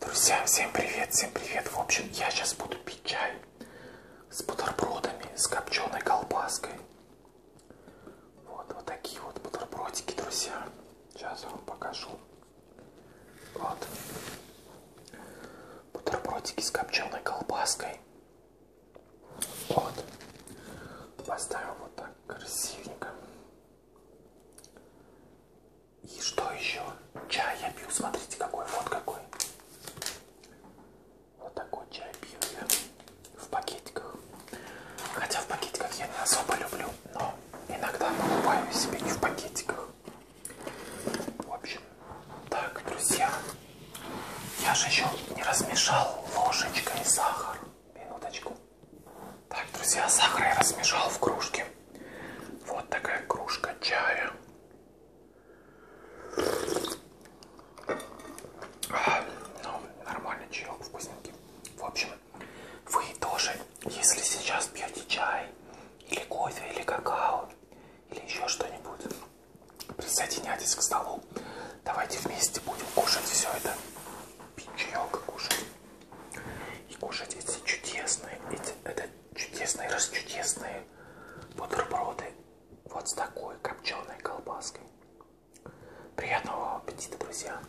Друзья, всем привет, всем привет. В общем, я сейчас буду пить чай с бутербродами, с копченой колбаской. Вот, вот такие вот бутербродики, друзья. Сейчас я вам покажу. Вот. Бутербродики с копченой колбаской. Вот. Поставил вот так красивенько. И что еще? Чай я пью. Смотрите, какой. Вот какой. Вот такой чай пью я в пакетиках. Хотя в пакетиках я не особо люблю, но иногда покупаю себе не в пакетиках. В общем, так, друзья, я же еще не размешал ложечкой сахар. Минуточку. Так, друзья, сахар я размешал в кружке. Вот такая кружка чая. А, ну, нормальный чаек, вкусненький. В общем, вы тоже, если сейчас пьете чай, или кофе, или какао, или еще что-нибудь, присоединяйтесь к столу. Давайте вместе будем кушать все это. Пить чаек, кушать. И кушать эти чудесные, эти, это чудесные, расчудесные бутерброды вот с такой копченой колбаской. Приятного аппетита, друзья!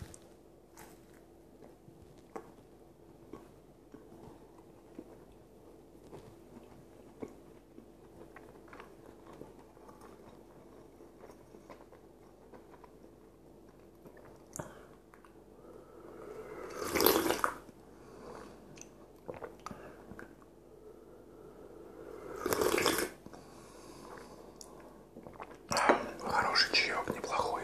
Хороший чаек, неплохой.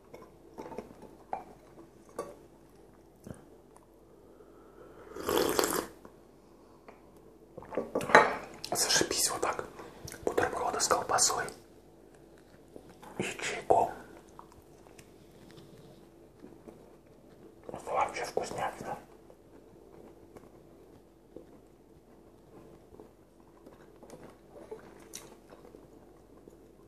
Зашибись вот так. Бутерброды с колбасой и чайком. Вообще вкуснятина.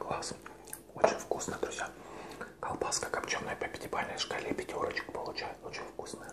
Класс. Очень вкусно, друзья. Колбаска копченая по пятибалльной шкале пятерочек получает. Очень вкусная.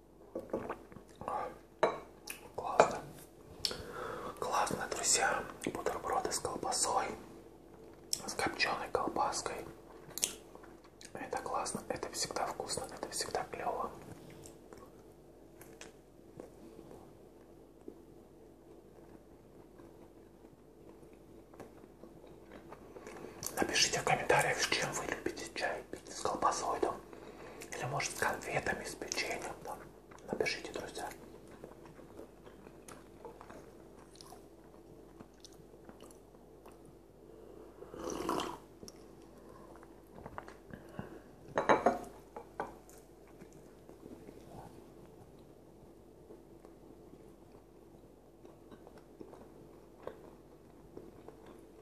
Классно. Классно, друзья. Бутерброды с колбасой, с копченой колбаской. Это классно, это всегда вкусно, это всегда клево. Напишите в комментариях, с чем вы любите чай с колбасой там, или может с конфетами, с печеньем там. Напишите, друзья.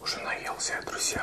Уже наелся я, друзья.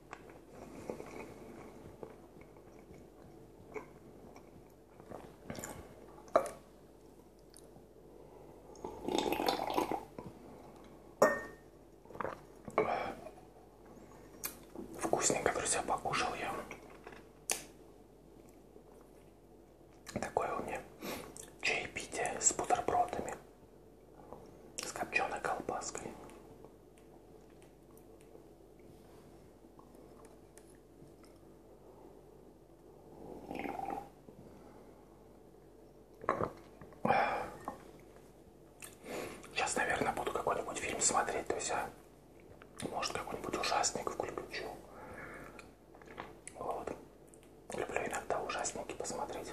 Вкусненько, друзья, покушал я. Такое у меня чаепитие с бутербродами, с копченой колбаской. Сейчас, наверное, буду какой-нибудь фильм смотреть, то есть я, а? может, какой-нибудь ужасник включу. Вот. Люблю иногда ужасники посмотреть.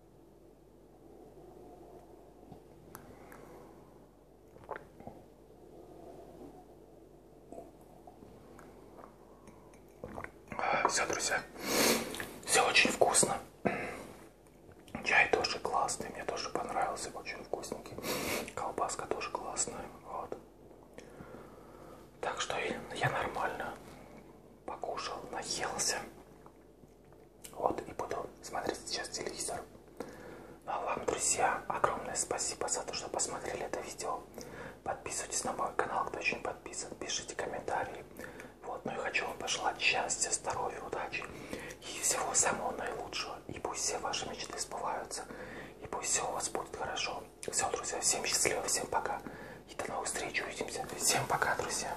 Все, друзья, все очень вкусно. Чай тоже классный, мне тоже понравился, очень вкусненький. Колбаска тоже классная, вот. Так что я нормально покушал, наелся. Вот, и буду смотреть сейчас телевизор. Ну, а вам, друзья, огромное спасибо за то, что посмотрели это видео. Подписывайтесь на мой канал, кто еще не подписан. Пишите комментарии. Вот, ну и хочу вам пожелать счастья, здоровья, удачи и всего самого наилучшего. И пусть все ваши мечты сбываются. И пусть все у вас будет хорошо. Все, друзья, всем счастливо, всем пока. И до новых встреч, увидимся. Всем пока, друзья.